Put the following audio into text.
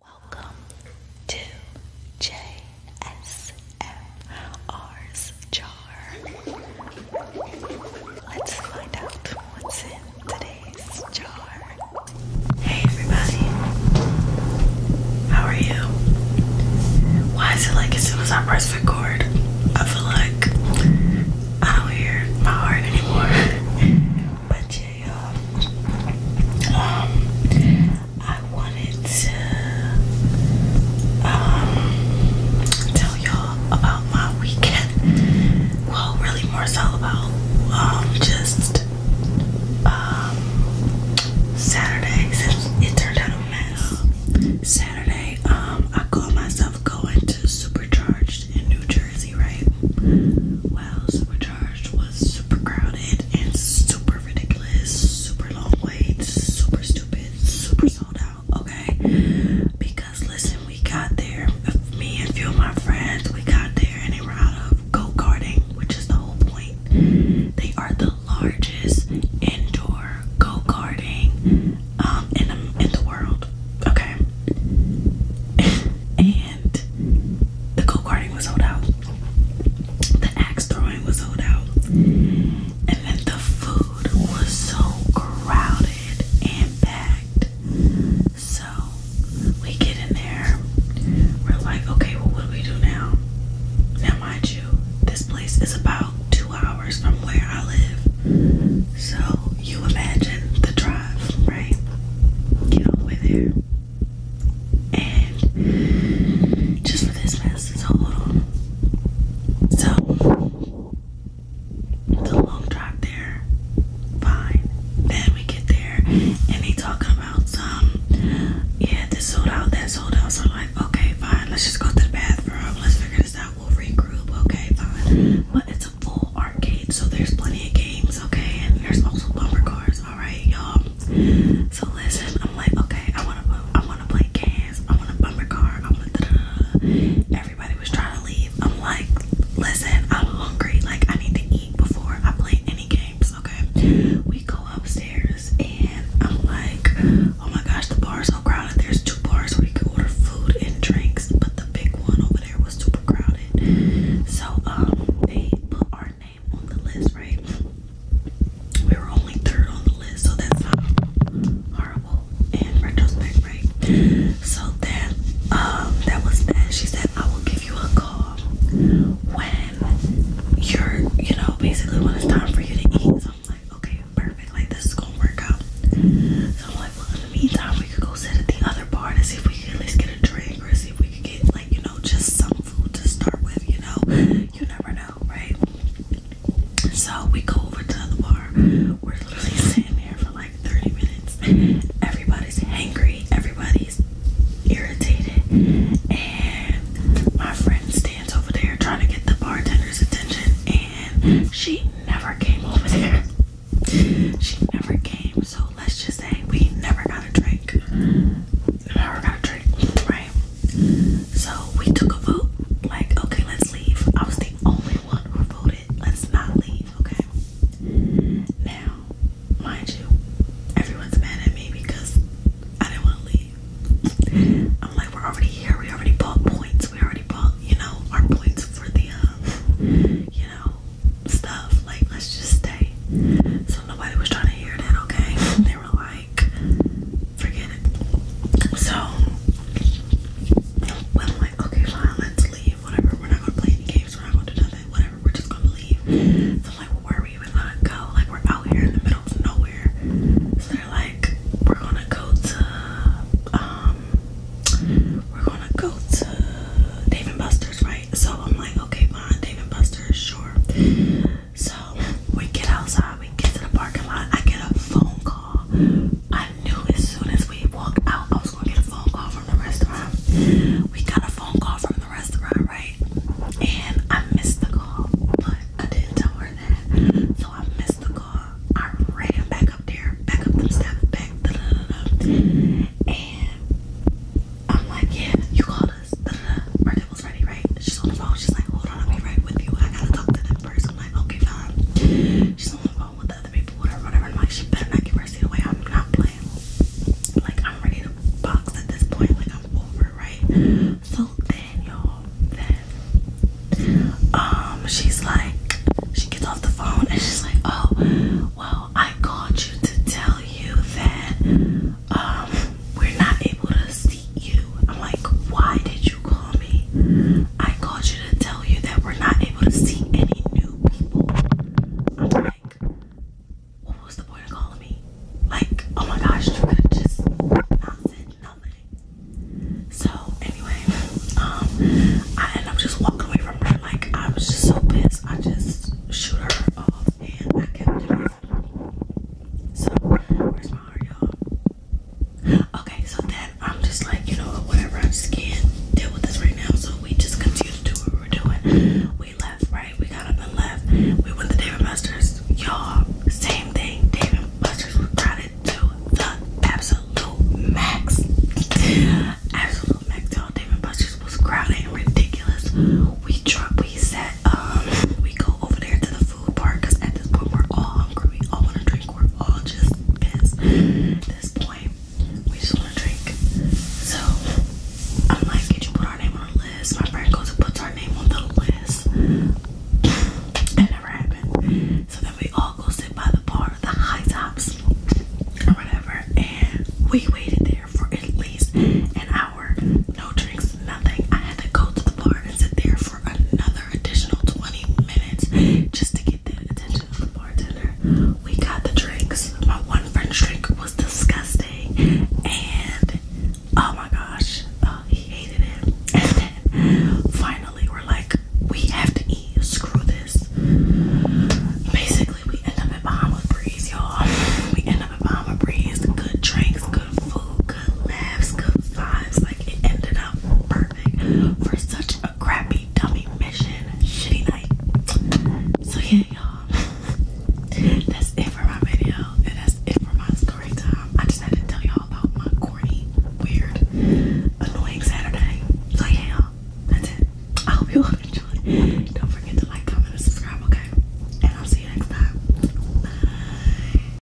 Welcome to JSMR's jar. Let's find out what's in today's jar. Hey everybody, how are you? Why is it like as soon as I press record, I feel like I don't hear my heart anymore? but um, um, I wanted to um, tell y'all about my weekend. Well, really more so about just Saturday it turned out a mess. Saturday, I caught myself going to Supercharged in New Jersey, right? Well, supercharged was super crowded and super ridiculous, super long waits, super stupid, super sold out, okay? Because listen, we got there, me and a few of my friends, we got there and we're out of go karting, which is the whole point. They are the largest indoor go karting um, in, the, in the world. Okay. and the go-karting was sold out. The axe throwing was sold out. And then the food was so crowded and packed. So we get in there. We're like, okay, what do we do now? Now, mind you, this place is about two hours from where I live. So you imagine the drive, right? Get all the way there. And just for this man to hold on. So a long drive there, fine. Then we get there and they talking about some yeah, this sold out, that sold out. So like, okay, fine, let's just go to the bathroom, let's figure this out. I will regroup, okay, fine. But it's a full arcade, so there's plenty of games, okay, and there's also bumper cars, alright, y'all. So listen, I'm like, okay, I wanna I wanna play cans. I want to bumper car, I wanna da, da, da. everybody was trying to leave. I'm like, listen, I'm hungry, like I need to eat before I play any games, okay? We go upstairs and I'm like Oh my gosh, the bar is so crowded. There's two bars where you can order food and drinks, but the big one over there was super crowded. So um, they put our name on the list, right? We were only third on the list, so that's not horrible in retrospect, right? So that um, that was that. She said, "I will give you a call when you're, you know, basically when it's time for you to eat." So like, Okay, perfect. Like this is gonna work out. So I'm like, well, in the meantime, we could go sit at the other bar to see if we could at least get a drink or see if we could get like you know just some food to start with. You know, you never know, right? So we go over to the bar. We're literally sitting there for like 30 minutes. Everybody's hangry. Everybody's irritated, and my friends stands over there trying to get the bartender's attention, and she never came over there. She never came, so let's just say we never got a drink. Never got a drink, right? So we took a vote, like, okay, let's leave. I was the only one who voted, let's not leave, okay? Now, mind you, everyone's mad at me because I didn't want to leave. I'm like, we're already here. We already bought points. We already bought, you know, our points for the, um, you know, stuff. Like, let's just stay. So nobody was trying to hear that, okay? They were like, forget it. So, I'm like, okay, fine, let's leave. Whatever. We're not going to play any games. We're not going to do that. Whatever. We're just going to leave. I'm like, well, where we even gonna go? Like we're out here in the middle of nowhere. So they're like, we're gonna go to um we're gonna go to Dave and Buster's, right? So I'm like, okay, fine, Dave and Buster's, sure. So we get outside, we get to the parking lot, I get a phone call. I knew as soon as we walked out I was gonna get a phone call we got a phone call from the restaurant, right? And I missed the call, but I didn't tell her that. So I missed the call. I ran back up there, back up them steps, back, da da da da. And I'm like, yeah, you called us. Da da da. Her was ready, right? She's on the phone. She's like, hold on, I'll be right with you. I gotta talk to that person. I'm like, fine. She's on the phone with other people, whatever, whatever. I'm like, better not give her seat away. I'm not playing. Like I'm ready to box at this point. Like I'm over, right? So then um she's like she gets off the phone and she's like, Oh, well, I called you to tell you that um we're not able to see you. I'm like, why did you call me? I called you to tell you that we're not able to see any new people. I'm like, what was the boy calling me? Like, oh my gosh, you could have just not said nothing. So, anyway, um, I ended up just walking away from her. Like, I was just so pissed. I just shoot her off and I kept it. So, where's my heart, y'all? Okay, so then I'm just like, you know whatever, I just can't deal with this right now. So we just continue to do what we were doing. We left, right? We got up and left. We went to David Buster's. Y'all, same thing. David Buster's were crowded to the absolute max. absolute max, y'all. David Buster's was crowded and ridiculous. We drunk, we sat, um, we go over there to the food park because at this point we're all hungry. We all want to drink. We're all just pissed. this point, we just want to drink. So I'm like, could you put our name on the list? My friend goes and puts our name on the list. It never happened. So then we all go sit by the bar, the high tops, or whatever, and we waited there for at least an hour. No drinks, nothing. I had to go to the bar and sit there for another additional 20 minutes just to get the attention of the bartender. We got the drinks. My one French drink was disgusting, and oh my gosh, uh, he hated it. And then finally, we're like, we have to eat. Screw this. Basically, we end up at Bahama Breeze, y'all. We end up at Bahama Breeze. Good drinks, good food, good laughs, good vibes. Like it ended up. Perfect for such a crappy dummy mission. Shitty night. So yeah, y'all. that's it for my video. And that's it for my story time. I just had to tell y'all about my corny, weird, annoying Saturday. So yeah, That's it. I hope you all enjoyed. Don't forget to like, comment, and subscribe, okay? And I'll see you next time.